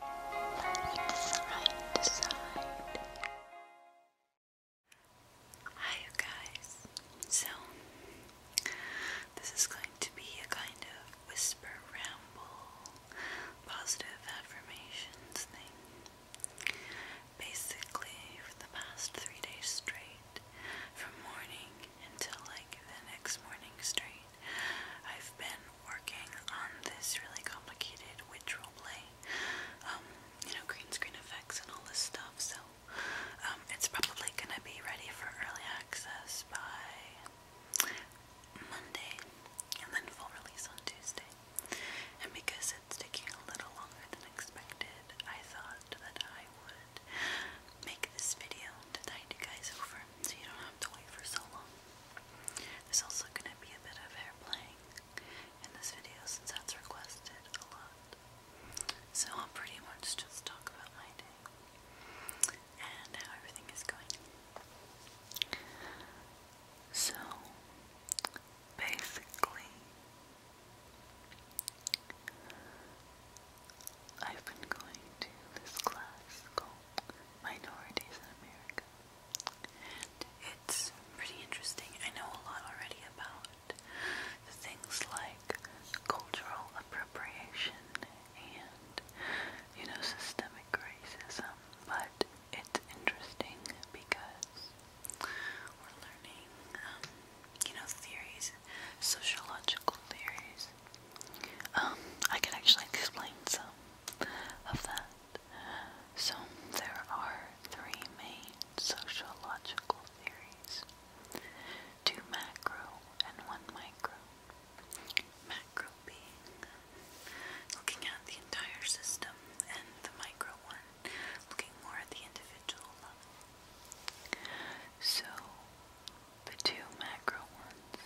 Hi, you guys. So, this is going to be a kind of whisper ramble, positive affirmations thing. Basically, for the past three days straight, from morning until like the next morning straight. I've been working on this really complicated witch roleplay, um, you know, green screen effects and all this stuff, so um, it's probably gonna be ready for early access by Monday and then full release on Tuesday. And because it's taking a little longer than expected, I thought that I would make this video to tide you guys over so you don't have to wait for so long. There's also going to be a bit of hair playing in this video since that's requested a lot. So I'll pretty much just talk about my day and how everything is going. So, basically, I've been going to this class called minorities in America. it's pretty interesting. I know a lot already about things like cultural appropriation and, you know, systemic racism, but it's interesting because we're learning, um, you know, theories, sociological theories. Um, I can actually explain some of that. So there are three main sociological theories. Two macro and one micro. Macro being looking at the entire system and the micro one looking more at the individual level. So the two macro ones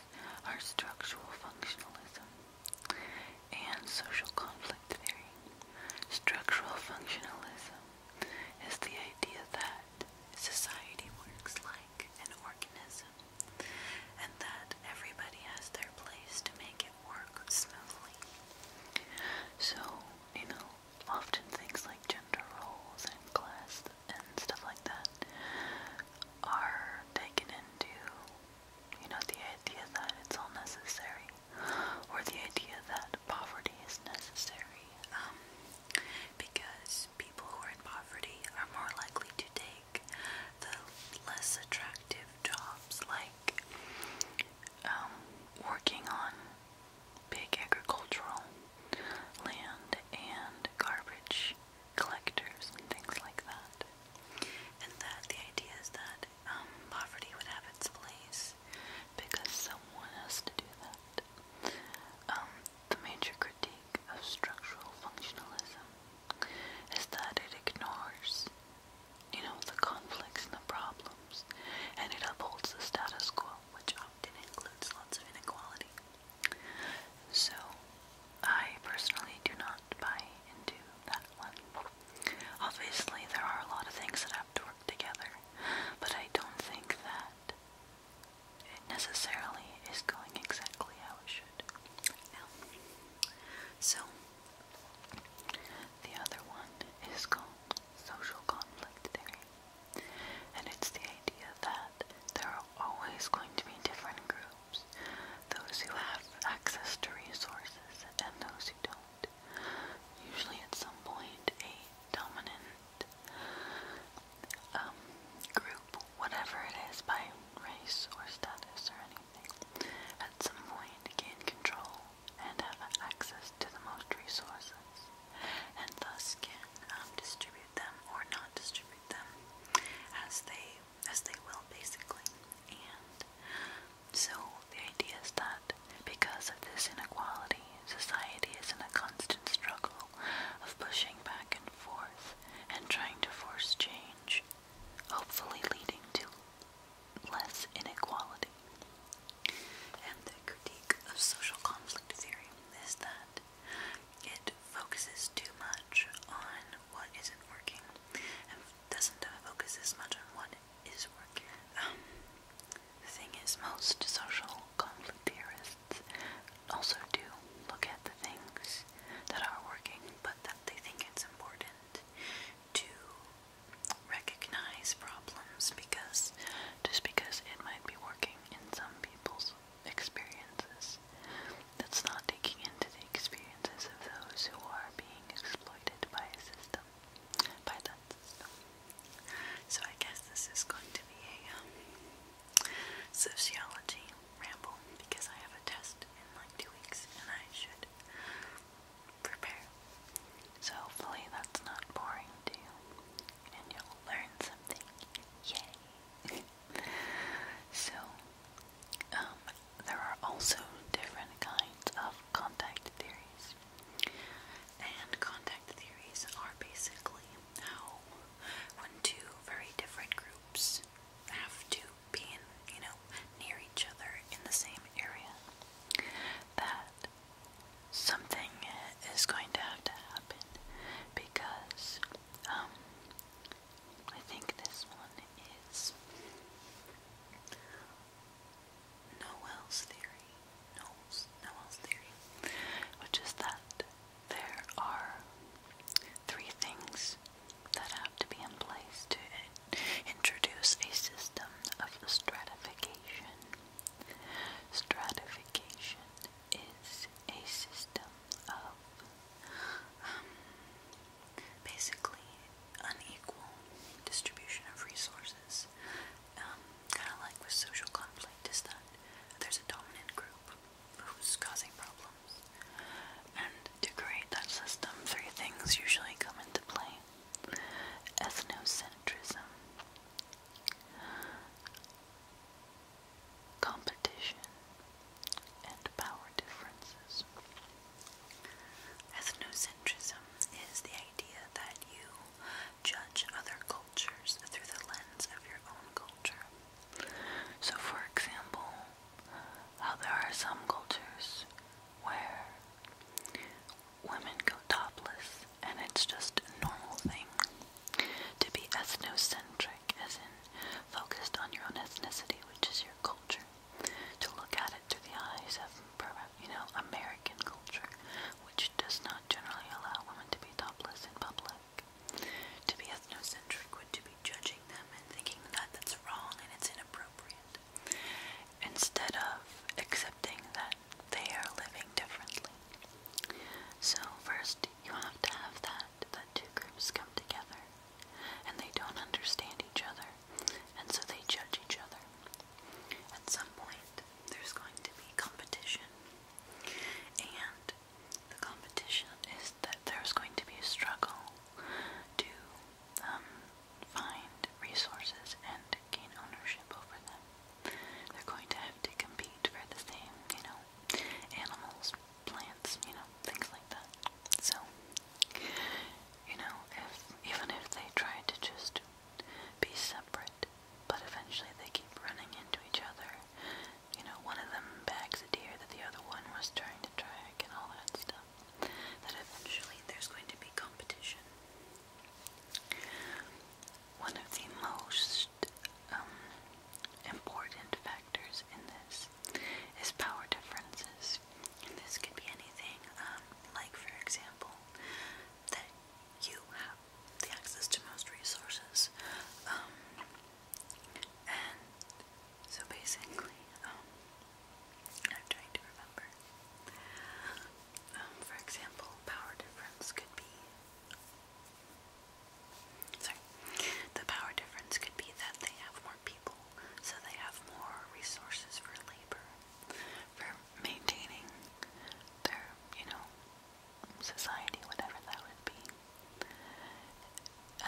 are structural functionalism and social conflict theory. Structural functionalism is the idea that society works like an organism and that everybody has their place to make it work smoothly. So, you know, often things like gender roles and class and stuff like that are taken into, you know, the idea that it's all necessary, or the idea that poverty is necessary, um, because people who are in poverty are more likely to take the less attractive jobs, like um, working on big agricultural land and garbage collectors and things like that. And that the idea is that um, poverty would have its place because someone has to do that. Um, the major critique of structural functionalism is that it ignores, you know, the conflicts and the problems, and it upholds the status quo, which often includes lots of inequality. So I personally do not buy into that one. Obviously, there are a lot of things that have to work together, but I don't think that it necessarily is going exactly how it should. so the other one is called social conflict theory, and it's the idea that there are always going to be different groups groups those who have access to resources and those who don't. Usually, at some point, a dominant um, group, whatever it is, by race or status or anything, at some point gain control and have access to the most resources, and thus can um, distribute them or not distribute them as they as they will basically. And so the idea is that because of this inequality, society is in a constant struggle of pushing back and forth and trying to force change, hopefully leading to less inequality. And the critique of social conflict theory is that it focuses too much on what isn't working and doesn't focus as much on what is working. Um, the thing is, most social conflict theorists also do look at the things that are working, but that they think it's important to recognize problems because just because it might be working in some people's experiences. That's not taking into the experiences of those who are being exploited by a system, by that system. So I guess this is going to be a um, sociology ramble because I have a test in like two weeks and I should prepare. So hopefully that's not boring to you and you'll learn something. Yay! So, um, there are also different kinds of contact theories. And contact theories are basically how when two very different groups have to be in, you know, near each other in the same area, that something is going to have to happen because um, I think this one is Noel's theory. Noel's, theory, which is that there are three things that have to be in place to introduce a system of stratification. Stratification is a system of um, basically unequal distribution of resources. Um, kind of like with social conflict, is that there's a dominant group who's causing problems. And to create that system, three things usually come into play ethnocentrism, competition, and power differences. Ethnocentrism is the idea that you judge other cultures through the lens of your own culture. So, for example, how there are some cultures where women go topless and it's just a normal thing to be ethnocentric centric, as in focused on your own ethnicity, which is your culture. To look at it through the eyes of, you know, American culture, which does not generally allow women to be topless in public. To be ethnocentric would to be judging them and thinking that that's wrong and it's inappropriate, instead of accepting that they are living differently. So first, you have to have that fact that two groups come together and they don't understand each other, and so they judge each other. At some point, there's going to be competition, and the competition is that there's going to be a struggle to um, find resources and gain ownership over them. They're going to have to compete for the same, you know, animals, plants, you know, things like that. So, you know, if even if they try to just be separate, but eventually they keep running into each other. You know, one of them bags a deer that the other one was trying to drag and all that stuff. That eventually there's going to be competition. One of the most um, important factors in this is power differences. this could be anything, um, like for example, that you have the access to most resources. Um, and so basically, I'm trying to remember. for example, power difference could be Sorry. The power difference could be that they have more people, so they have more resources for labor, for maintaining their, you know, society, whatever that would be.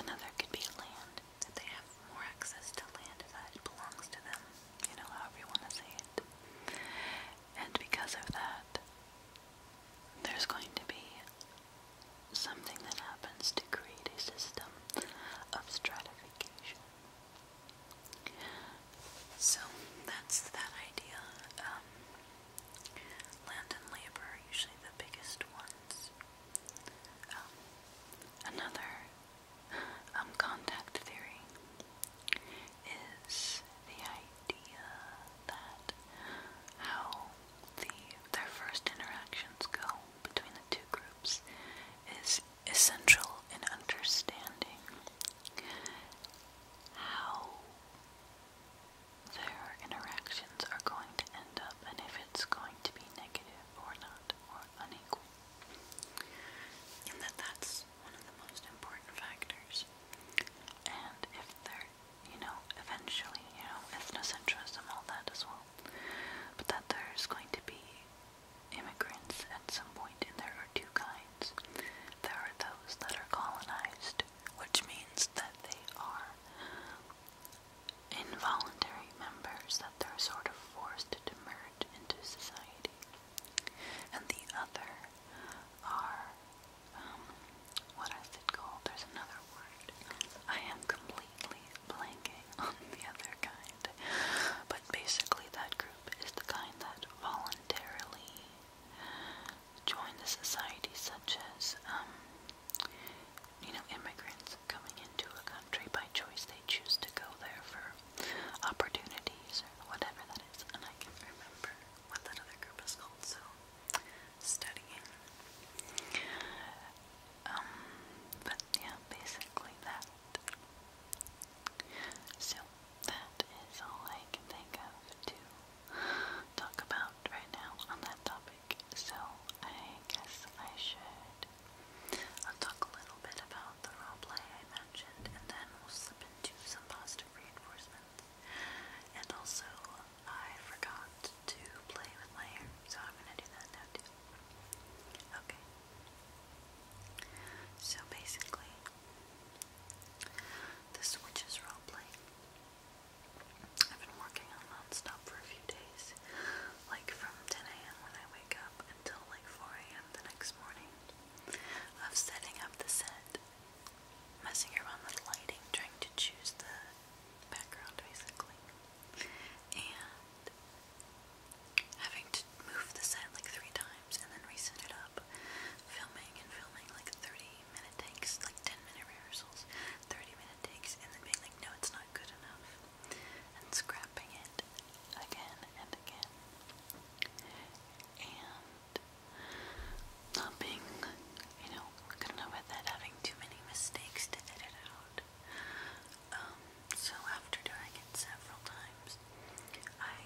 Another could be land, that they have more access to land that belongs to them, you know, however you want to say it. And because of that, there's going to be something that happens to create a system of stratification. So that's that idea. Um, land and labor are usually the biggest ones. Um, another um, contact theory is the idea that how the their first interactions go between the two groups is essential in understanding how their interactions are going to end up and if it's going to be negative or not or unequal. And that that's one of the most important factors. And if they're you know, eventually, you know, ethnocentrism, all that as well. But that there's going to be immigrants at some point, and there are two kinds. There are those that are colonized, which means that they are involuntary members, that they're sort of forced to merge into society. And the other are um, what is it called? There's another word. I am completely blanking on the other kind. But basically, that group is the kind that voluntarily join the society, such as, um, you know, immigrants coming into a country by choice. They choose to go there for opportunities or whatever that is. And I can't remember what that other group is called, so studying. Um, but yeah, basically that. So that is all I can think of to talk about right now on that topic. So I guess I should. talk a little bit about the role play I mentioned, and then we'll slip into some positive reinforcement and also, I forgot to play with my hair, so I'm gonna do that now too. Okay. So basically, this witch is roleplay. I've been working on non-stop for a few days, like from 10 a.m. when I wake up until like 4 a.m. the next morning, of setting up the set messing around with lighting, trying to choose the background basically, and having to move the set like three times and then reset it up, filming and filming like 30 minute takes, like 10 minute rehearsals, 30 minute takes, and then being like, no, it's not good enough, and scrapping it again and again. And not being, you know, good enough at having too many mistakes to edit out. Um, so after doing it several times, I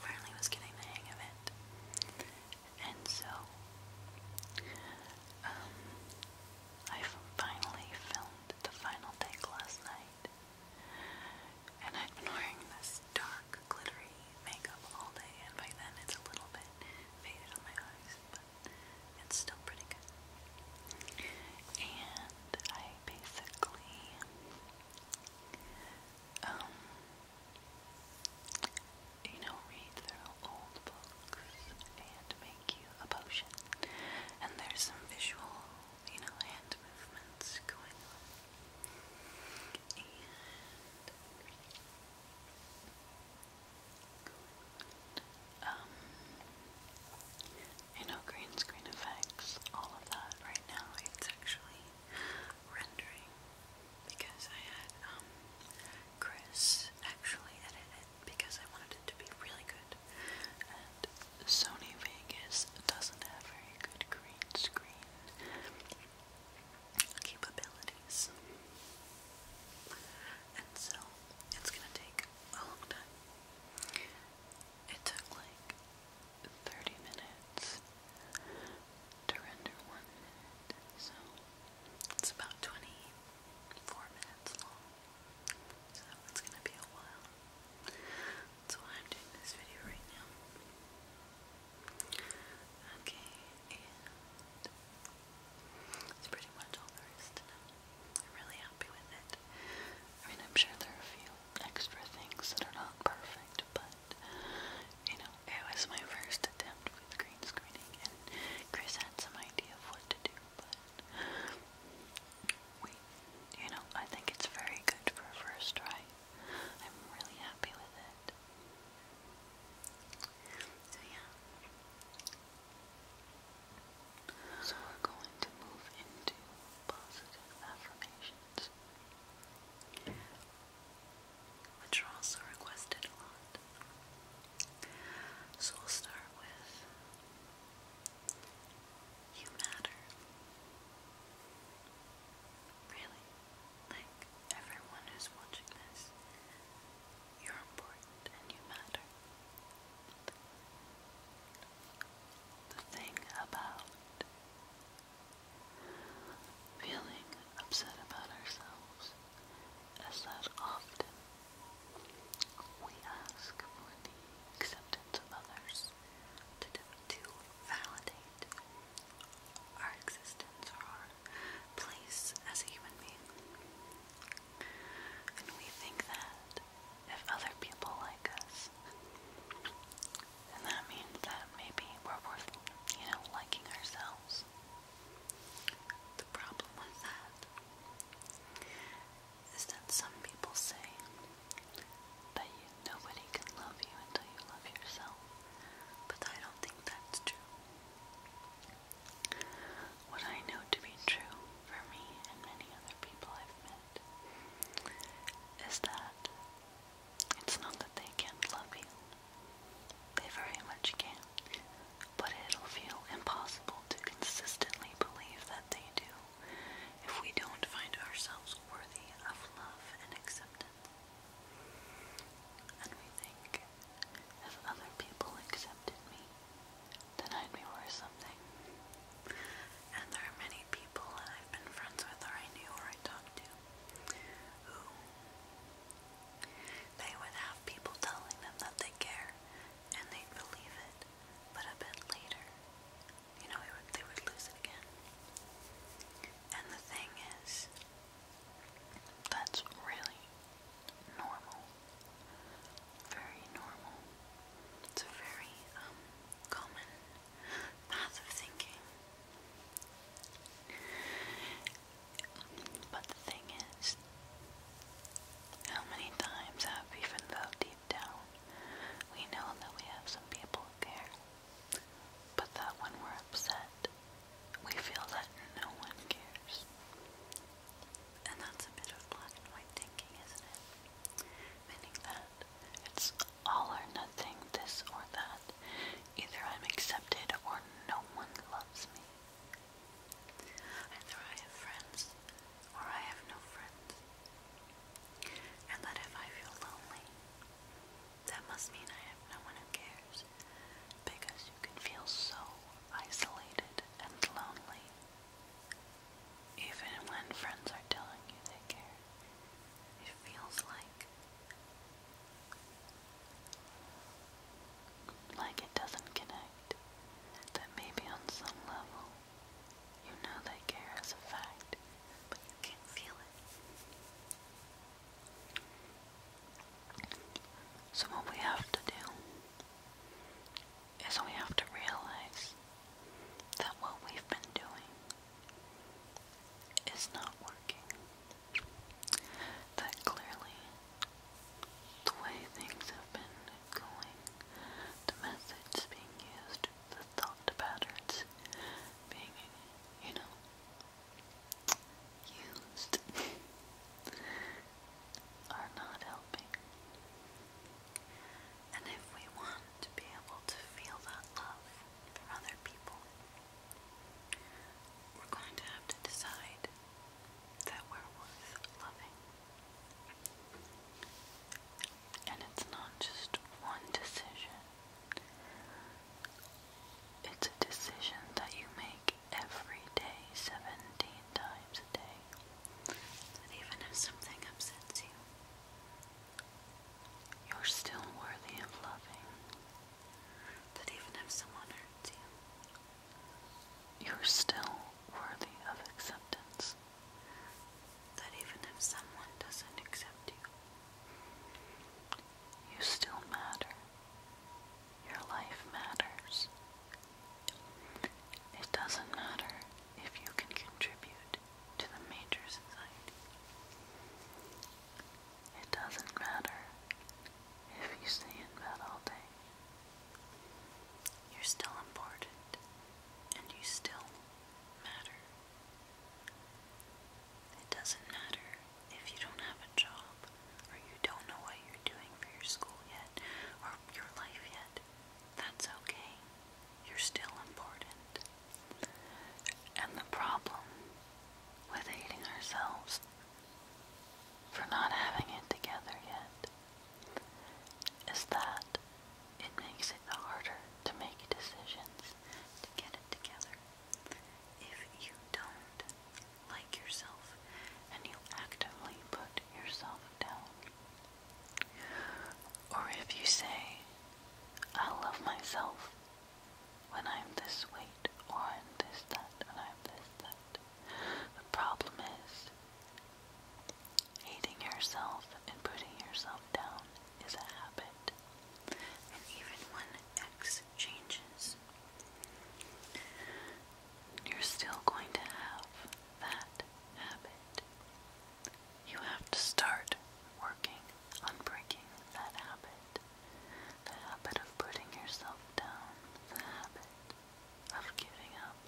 finally was getting the hang of it. And so, um, I finally filmed the final take last night. And I'd been this dark, glittery makeup all day, and by then it's a little bit faded on my eyes, but it's still pretty good. And I basically, um, you know, read through old books and make you a potion. And there's some visual, you know, hand movements going and um, I know green screen effects, all of that right now, it's actually rendering because I had um, Chris actually edit it because I wanted it to be really good and Sony Vegas doesn't have very good green screen capabilities. And so it's gonna take a long time. It took like 30 minutes to render one so it's about 24 minutes long. So it's gonna be a while. That's why I'm doing this video right now. Okay, and it's pretty much all there is to know. I'm really happy with it. I mean, I'm sure there are a few extra things that are not perfect, but you know, it was my first attempt with green screening, and Chris had some idea of what to do, but you know, I think it's very good for a first try. I'm really happy with it. So, yeah. So, we're going to move into positive affirmations, which are also requested a lot. So, we'll start with You matter. Really? like everyone who's watching this, you're important and you matter. The thing about feeling upset about ourselves is that often we ask for the acceptance of others to, validate our existence or our place as a human being. And we think that if other people like us, then that means that maybe we're worth, you know, liking ourselves. The problem with that is that some people say that Nobody can love you until you love yourself. But I don't think that's true. What I know to be true for me and many other people I've met is that it's not that they can't love you. They very much can. But it'll feel impossible to consistently believe that they do if we don't find ourselves worthy of love and acceptance. And we think, if other people accepted me, then I'd be worth something. And there are many people that I've been friends with or I knew or I talked to who they would have people telling them that they care and they'd believe it, but a bit later, you know, they would lose it again. And the thing is, that's really normal. Very normal. It's a very um, common path of thinking. But the thing is, how many times have, even though deep down we know that we have some people who but that when we're upset, we feel that no one cares. And that's a bit of black and white thinking, isn't it? Meaning that it's all or nothing, this or that. Either I'm accepted or no one loves me. Either I have friends or I have no friends. And that if I feel lonely, that must mean I have no one who cares. Because you can feel so isolated and lonely. Even when friends are telling you they care, it feels like. Like it doesn't connect. That maybe on some level, you know they care as a fact, so, what we have to do is we have to realize that what we've been doing is not working. That clearly the way things have been going, the methods being used, thought patterns being, you know, used are not helping. And if we want to be able to feel that love for other people, we're going to have to decide that we're worth loving. And it's not just one decision, it's a decision that you make every day, 17 times a day. That even if something upsets you, you're still worthy of loving. That even if someone hurts you, you're still worthy of acceptance that even if someone doesn't accept you, you still matter. Your life matters. It doesn't matter if you can contribute to the major society. It doesn't matter if you stay in bed all day. You're still important and you still matter. It doesn't matter if you don't have a job or you don't know what you're doing for your school yet or your life yet. That's okay. You're still important. And the problem with hating ourselves for not having it together yet is that it makes it harder to make decisions, to get it together. If you don't like yourself and you actively put yourself down, or if you say, I love myself when I'm this weight, or i this that, and I'm this that. The problem is, hating yourself and putting yourself down is a habit, and even when X changes, you're still going to have that habit. You have to start working on breaking that habit. The habit of putting yourself down, the habit of giving up,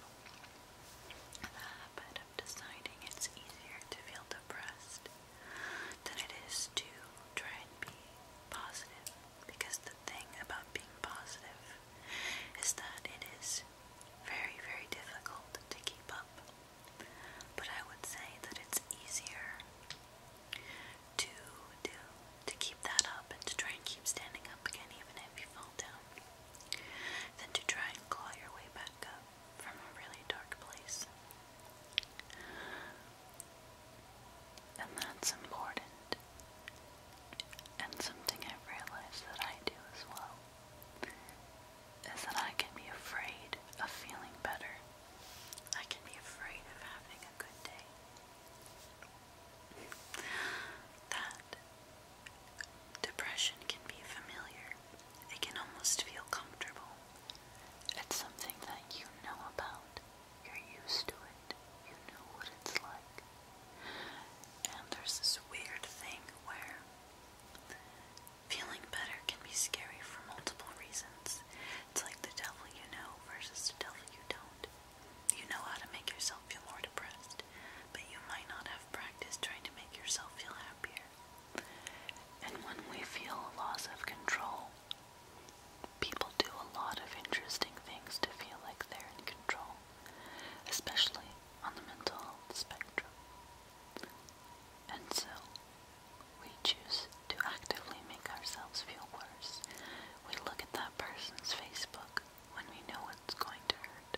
the habit of deciding it's easier to feel depressed than it is to try and be positive. Because the thing about being positive is that it is very, very difficult to keep up. But I would say that it's easier to do, to keep that up and to try and keep standing up again even if you fall down, than to try and claw your way back up from a really dark place. And that's important. And something I've realized that I do as well is that I can be afraid of feeling better. I can be afraid of having a good day. That depression can be familiar I can almost feel comfortable. It's something that you know about. You're used to it. You know what it's like. And there's this weird thing where feeling better can be scary for multiple reasons. It's like the devil you know versus the devil you don't. You know how to make yourself feel more depressed, but you might not have practiced trying to make yourself feel happier. And when we feel a loss of control, people do a lot of interesting things to feel like they're in control, especially on the mental health spectrum. And so, we choose to actively make ourselves feel worse. We look at that person's Facebook when we know it's going to hurt.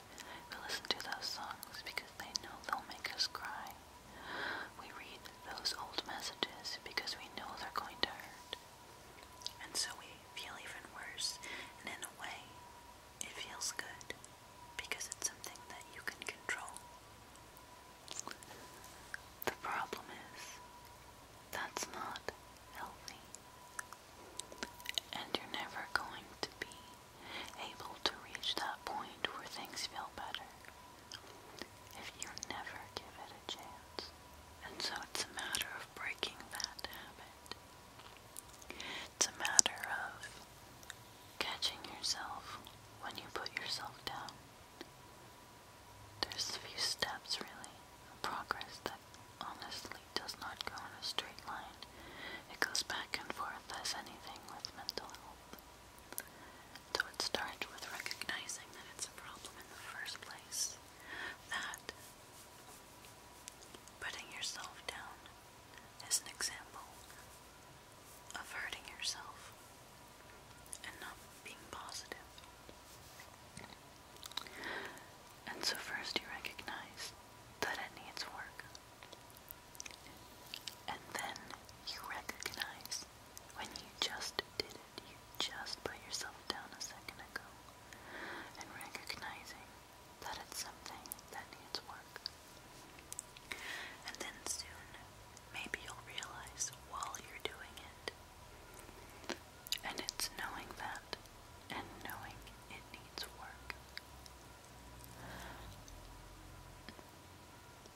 We listen to those songs because they know they'll make us cry. We read those old messages because we know they're going to hurt. And so we feel even worse, and in a way, it feels good because it's something that you can control. The problem is, that's not healthy. And you're never going to be able to reach that point where things feel better if you never give it a chance. And so it's a matter of breaking that habit. It's a matter of catching yourself when you put yourself down. There's a few steps really, progress that honestly does not go in a straight line. It goes back and forth as anything with mental health. So it starts with recognizing that it's a problem in the first place. That putting yourself down is an example of hurting yourself and not being positive. And so, first, you recognize that it needs work. And then you recognize when you just did it, you just put yourself down a second ago. And recognizing that it's something that needs work. And then soon, maybe you'll realize while you're doing it. And it's knowing that and knowing it needs work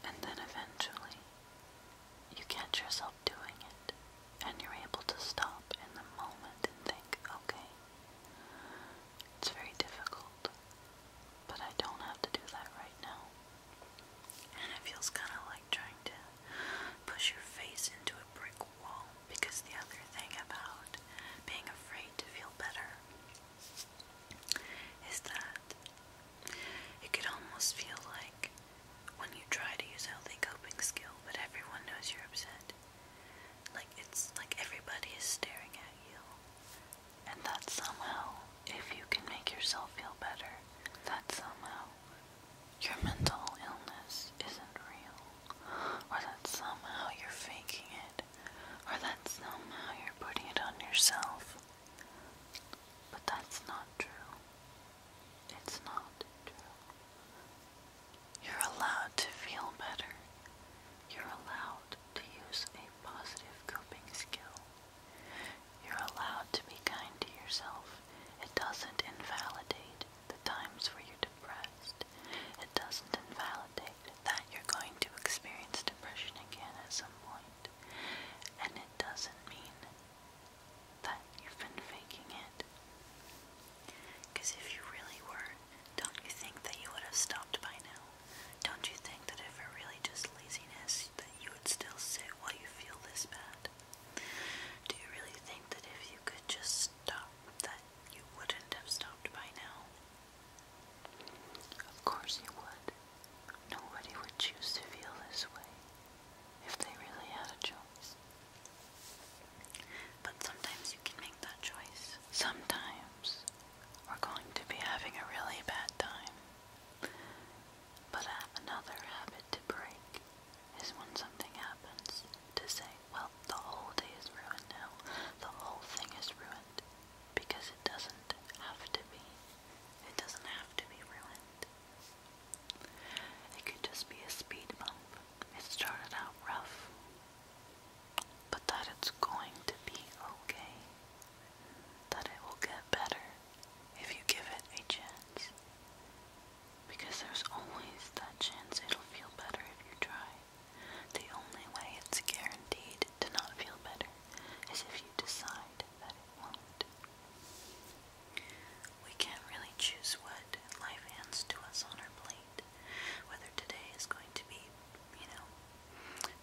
and then eventually, you catch yourself doing it, and you're able to stop in the moment and think, okay, it's very difficult, but I don't have to do that right now. And it feels kind of like trying to push your face into a brick wall because the other thing about being afraid to feel better is that it could almost feel like when you try to use healthy coping skill, but everyone knows you're upset. Like it's like everybody is staring at you. And that somehow, if you can make yourself feel better, that somehow your mental illness isn't real. Or that somehow you're faking it or that's somehow you're putting it on yourself. But that's not true. It's not true. You're allowed to feel better. You're allowed to use a positive coping skill. You're allowed to be kind to yourself. It doesn't invalidate the times where you're depressed. It doesn't invalidate that you're going to experience depression again at some point, and it doesn't mean that you've been faking it. Because if you really were, don't you think that you would have stopped by now? Don't you think that if it really just laziness, that you would still sit while you feel this bad? Do you really think that if you could just stop, that you wouldn't have stopped by now? Of course he would. Nobody would choose to feel this way if they really had a choice. But sometimes you can make that choice. Sometimes we're going to be having a really bad time. But another habit to break is when something happens to say, well, the whole day is ruined now. The whole thing is ruined because it doesn't have to be. It doesn't have to be ruined. It could just be a speed bump. It started out rough, but that it's going to be okay. That it will get better if you give it a chance. Because there's always that chance it'll feel better if you try. The only way it's guaranteed to not feel better is if you decide that it won't. We can't really choose what life hands to us on our plate, whether today is going to be, you know,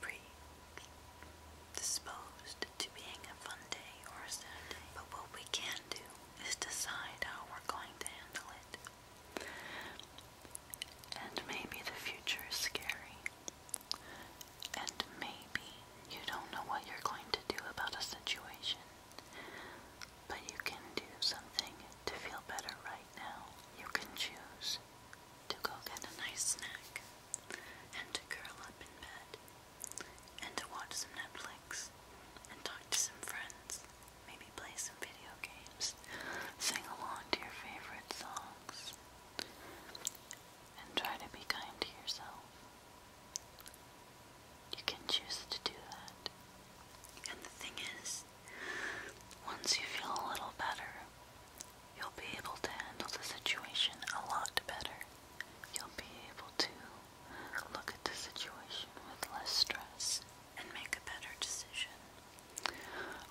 predisposed to being a fun day or a sad day. But what we can do is decide how we're going to handle it. And maybe the future is scary. And maybe you don't know what you're going to do about a situation. But you can do something to feel better right now. You can choose to go get a nice snack and to curl up in bed and to watch some Netflix and talk to some friends. Maybe play some video games, sing along to your favorite songs, and try to be kind to yourself. You can choose to do that. And the thing is, once you feel a little better, you'll be able to handle the situation a lot better. You'll be able to look at the situation with less stress and make a better decision,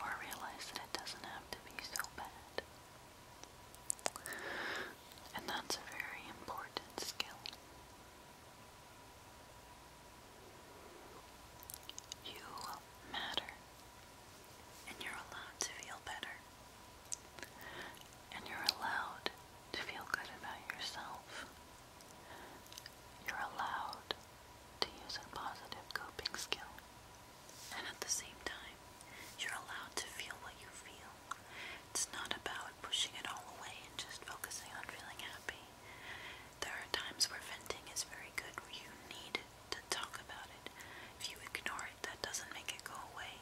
or realize that it doesn't have to be so bad. And that's a very important skill. You matter, and you're allowed to feel better, and you're allowed to feel good about yourself. You're allowed to use a positive coping skill. And at the same time, you're allowed to feel what you feel. It's not about pushing it all away and just focusing on feeling happy. There are times where venting is very good, where you need to talk about it. If you ignore it, that doesn't make it go away.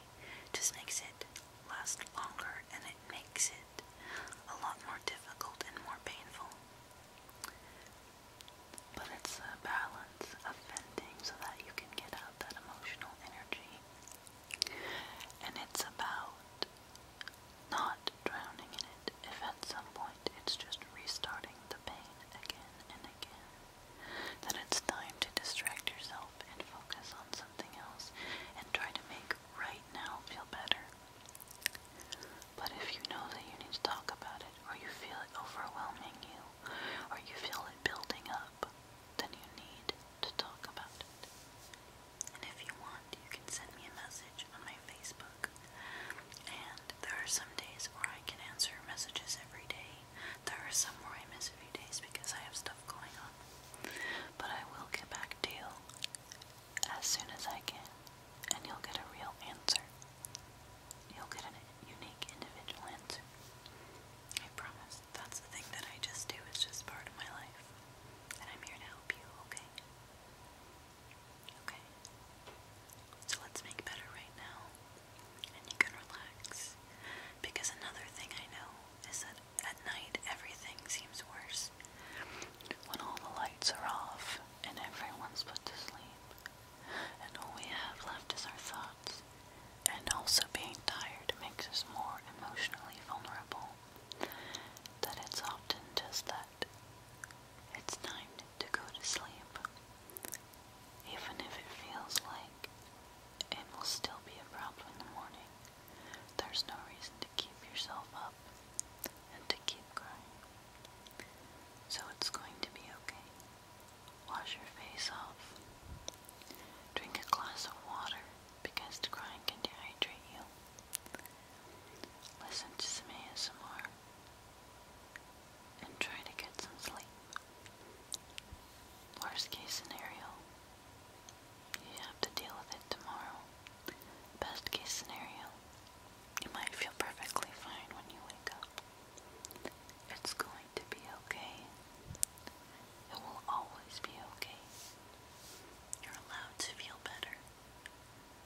It just makes it last longer and it makes it a lot more difficult and more painful. But it's a balance of venting so that you can get out that emotional energy. And it's about not drowning in it if at some point it's just restarting the pain again and again. That it's time to distract yourself and focus on something else and try to make right now feel better. But if you know that you need to talk about it, or you feel it overwhelming you, or you feel it building up, then you need to talk about it. And if you want, you can send me a message on my Facebook. And there are some days where I can answer messages every day. There are some where I miss a few days because I have stuff going on. But I will get back to you as soon as I can, and you'll get a real answer. You'll get a unique individual answer. I promise. That's the thing that I just do. It's just part of my life. And I'm here to help you, okay? Okay. So let's make better right now. And you can relax. Because another thing I know is that at night everything seems worse. When all the lights are off and everyone's put to sleep, and all we have left is our thoughts, and also being tired makes us more emotionally vulnerable. That it's often just that it's time to go to sleep, even if it feels like it will still be a problem in the morning. There's no reason to keep yourself up and to keep crying. So it's going to be okay. Wash your face off. Drink a glass of water because crying can dehydrate you. Listen to some ASMR and try to get some sleep. Worst case scenario, you have to deal with it tomorrow. Best case scenario, you might feel perfectly fine when you wake up. It's going to be okay. It will always be okay. You're allowed to feel better.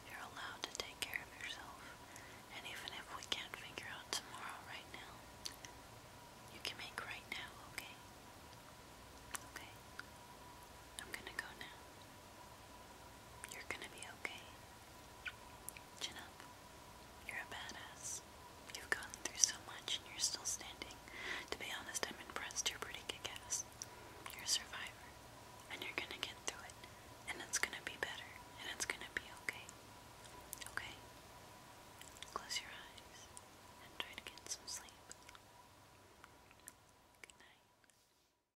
You're allowed to take care of yourself. And even if we can't figure out tomorrow right now, you can make right now, okay? Okay? I'm gonna go now. You're gonna be okay. Chin You're a badass. You've gone through so much and you're still standing. To be honest, I'm impressed. You're pretty kick ass. You're a survivor. And you're gonna get through it. And it's gonna be better. And it's gonna be okay. Okay? Close your eyes and try to get some sleep. Good night.